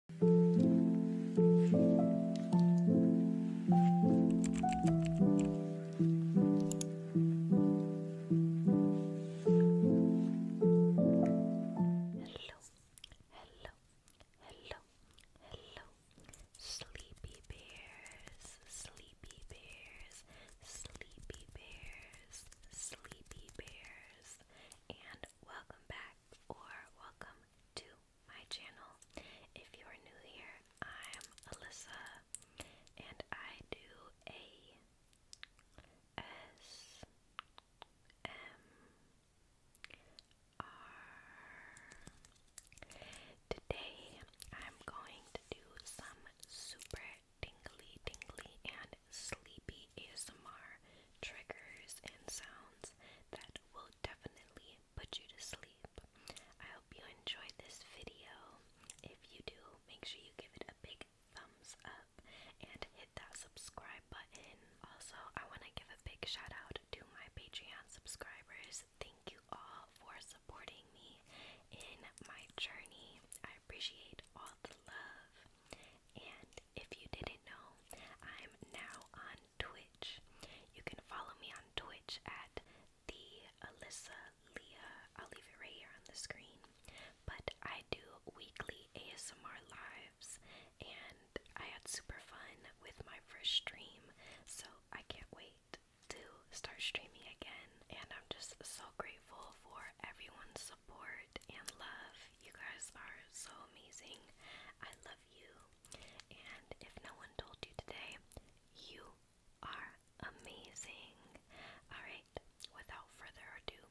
Hello, hello, hello, hello, sleepy bears, sleepy bears, sleepy bears, sleepy bears, and welcome back or welcome to my channel. If you are new here, I'm Alyssa and I do a S M R. Today I'm going to do some super tingly, tingly, and sleepy ASMR triggers and sounds that will definitely put you to sleep. I hope you enjoyed this video. If you do, make sure you give it a big thumbs up and hit that subscribe button. Also, I want to give a big shout out to my Patreon subscribers. Thank you all for supporting me in my journey. I appreciate all the love. And if you didn't know, I'm now on Twitch. You can follow me on Twitch at the Alyssa Leah. I'll leave it right here on the screen. But I do weekly ASMR lives, and I had super fun with my first stream, so I can't wait to start streaming again. And I'm just so grateful for everyone's support and love you guys are so amazing. I love you. And if no one told you today, you are amazing. Alright, without further ado,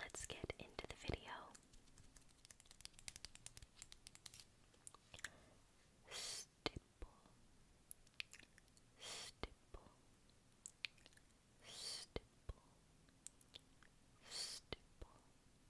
let's get into the video. Stipple, stipple, stipple, stipple,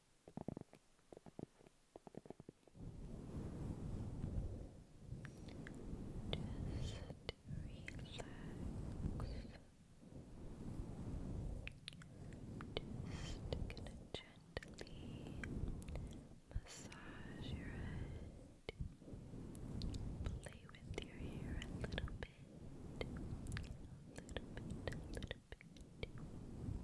gonna gently massage your head, play with your hair a little bit, a little bit, a little bit.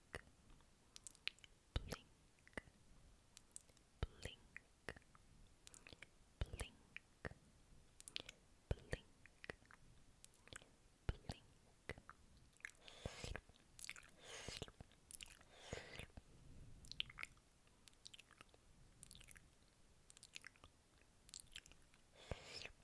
blink, blink, blink, blink, blink. Sleep,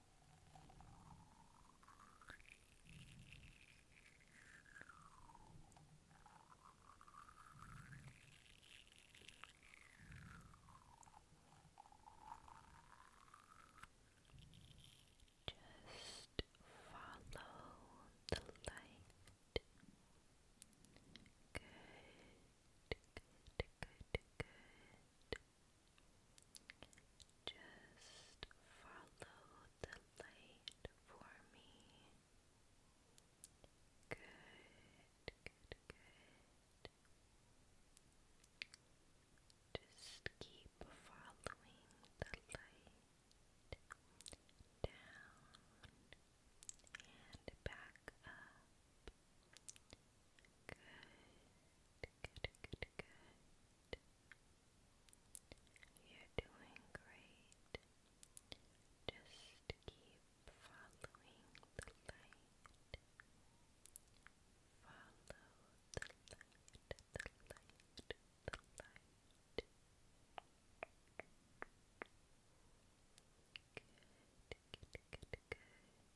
Just follow the light. Good, good, good, good. Just follow the light for me. Good, good, good. Just keep following the light down and back up. Good, good, good, good. You're doing great. Just keep following the light. Follow the light, the light, the light. Good, good, good, good.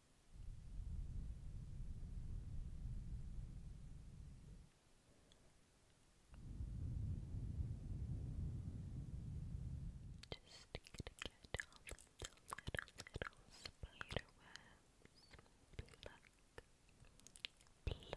Just gonna get all of little, spider webs. Pluck, pluck.